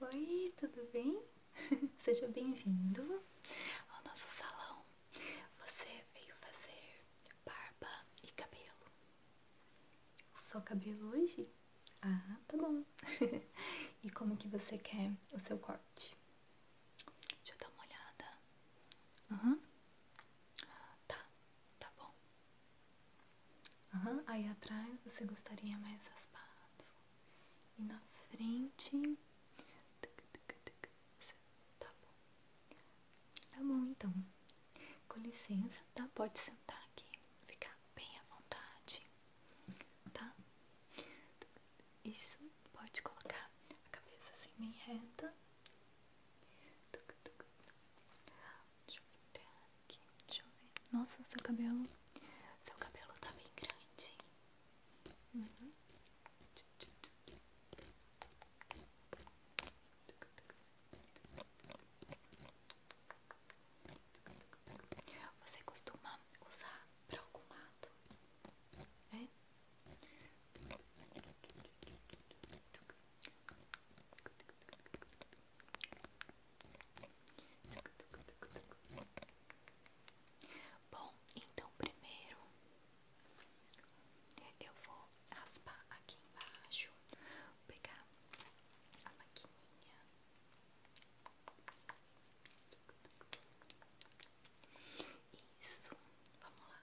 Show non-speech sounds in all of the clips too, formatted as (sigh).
Oi, tudo bem? (laughs) Seja bem-vindo ao nosso salão. Você veio fazer barba e cabelo. Só cabelo hoje? Ah, tá bom. (laughs) e como que você quer o seu corte? Deixa eu dar uma olhada. Uhum. Tá, tá bom. Uhum. Aí atrás você gostaria mais raspado. E na frente. Tá bom. Tá bom então. Com licença, tá? Pode sentar aqui. Ficar bem à vontade. Tá? Isso, pode colocar a cabeça assim bem reta. Deixa eu ver aqui. Deixa eu ver. Nossa, seu cabelo. Seu cabelo tá bem grande. Uhum. Você costuma usar pra algum lado? É? Bom, então primeiro eu vou raspar aqui embaixo, pegar a maquininha isso, vamos lá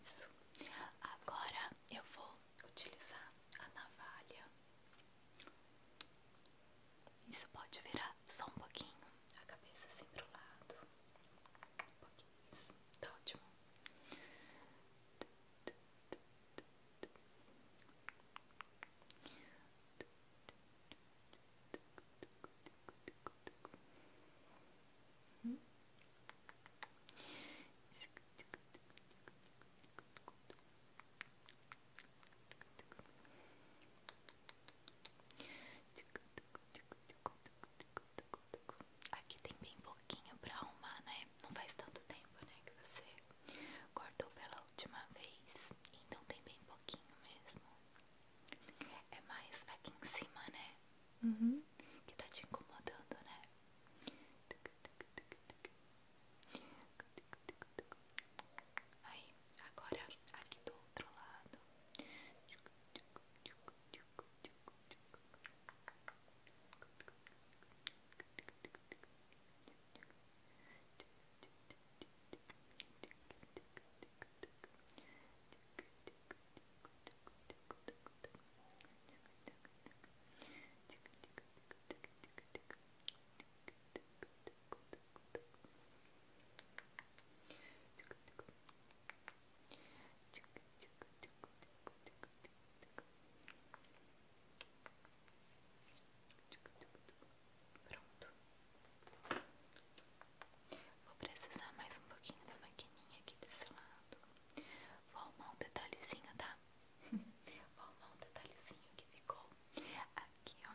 Isso. Agora eu vou utilizar a navalha isso pode virar só um pouquinho a cabeça assim pro lado. Um pouquinho, isso, tá ótimo. Aqui tem bem pouquinho pra arrumar, né? Não faz tanto tempo, né? Que você cortou pela última vez. Então tem bem pouquinho mesmo. É mais aqui em cima, né? Uhum. Que tá te incomodando, né? Aí. Agora, aqui do outro lado. Pronto. Vou precisar mais um pouquinho da maquininha aqui desse lado. Vou arrumar um detalhezinho, tá? (laughs) Vou arrumar um detalhezinho que ficou aqui, ó.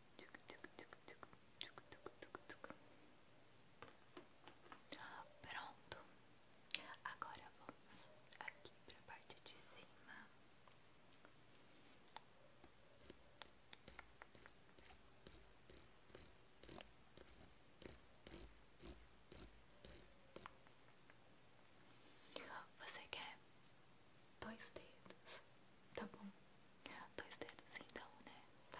Pronto, agora vamos aqui para parte de cima. Você quer dois dedos Tá bom? Dois dedos então, né? Tá.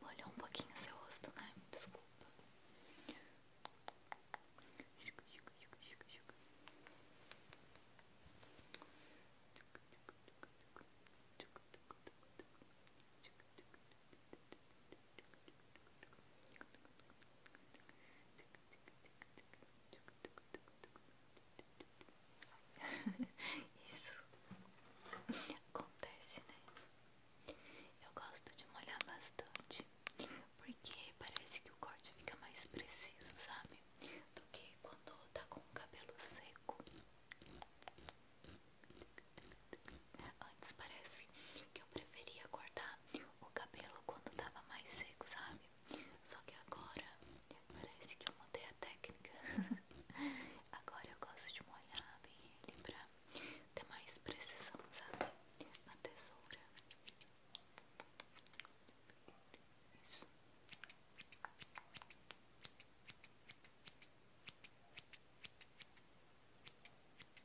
Molhou um pouquinho seu rosto, né? Desculpa. (laughs) Isso acontece, né? Eu gosto de molhar bastante, porque parece que o corte fica mais preciso, sabe? Do que quando tá com o cabelo seco. Antes parece que eu preferia cortar o cabelo quando tava mais seco, sabe? Só que agora parece que eu mudei a técnica. (laughs) agora eu gosto de molhar bem ele pra ter mais precisão, sabe? Na tesoura. Isso.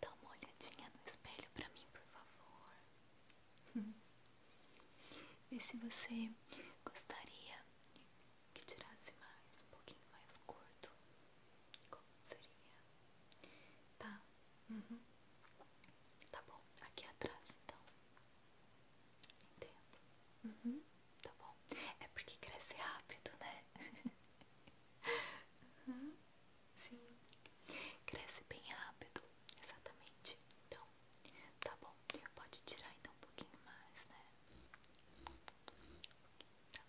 Dá uma olhadinha no espelho pra mim, por favor. E (laughs) se você gostaria que tirasse mais, um pouquinho mais curto. Como seria? Tá? Uhum. Tá bom, aqui atrás então. Entendo. Uhum tá bom? É porque cresce rápido, né? (laughs) sim, cresce bem rápido, exatamente. Então, tá bom. Pode tirar ainda então, um pouquinho mais, né? Tá.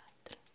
Atrás.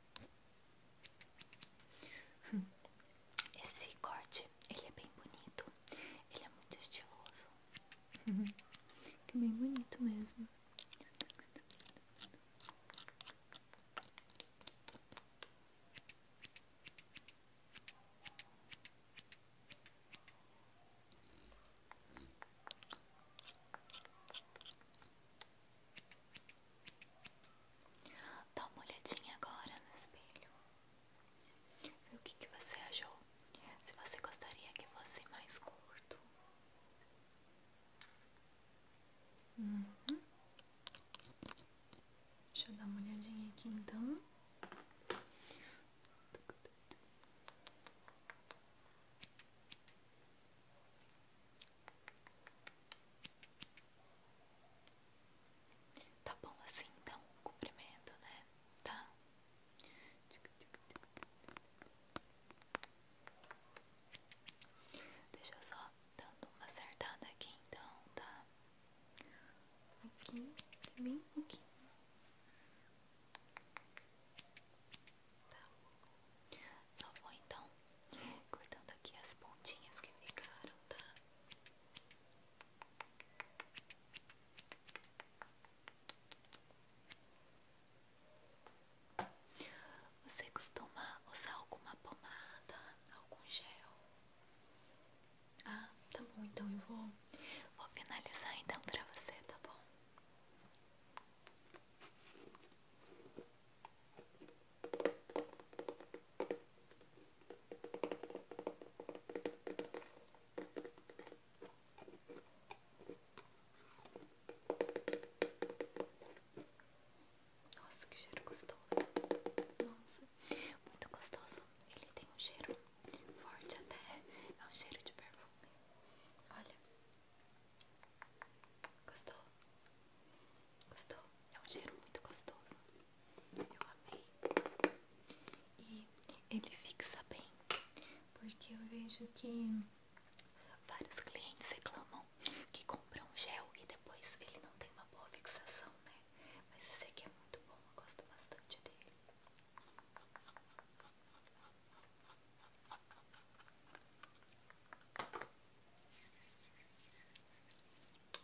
(laughs) Esse corte, ele é bem bonito. Ele é muito estiloso. Uhum. é bem bonito mesmo. Dá uma olhadinha agora no espelho. Vê o que, você achou. Se você gostaria que fosse mais curto. Uhum. Deixa eu dar uma olhadinha aqui então. Tá bom assim então, cumprimento, né? Tá? Deixa eu só dando uma acertada aqui então, tá? Aqui, bem aqui. Tá. Só vou então cortando aqui as pontinhas que ficaram, tá? Você costuma usar alguma pomada, algum gel? Ah, tá bom, então eu vou, vou finalizar então pra você, tá bom? Nossa, que cheiro gostoso! Nossa, muito gostoso. Ele tem um cheiro forte, até é um cheiro de perfume. Olha, gostou? Gostou? É um cheiro muito gostoso. Eu amei. E ele fixa bem, porque eu vejo que vários clientes reclamam que compram gel e depois ele não tem uma boa fixação, né? Mas esse aqui é muito bom, eu gosto bastante dele.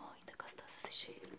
Muito gostoso esse cheiro.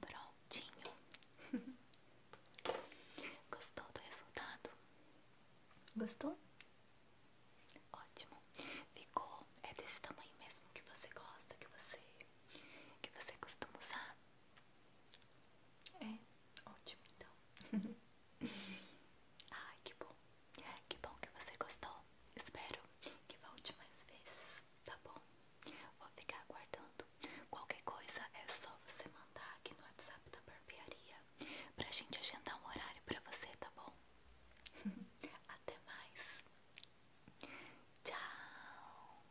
Prontinho. (laughs) Gostou do resultado? Gostou? Ótimo. Ficou é desse tamanho mesmo que você gosta, que você que você costuma usar. É. Ótimo, então. (laughs) Ai, que bom. Que bom que você gostou. Espero que volte mais vezes, tá bom? Vou ficar aguardando. Qualquer coisa é só você mandar aqui no WhatsApp da barbearia pra gente agendar um horário pra você, tá bom? (laughs) Até mais. Tchau.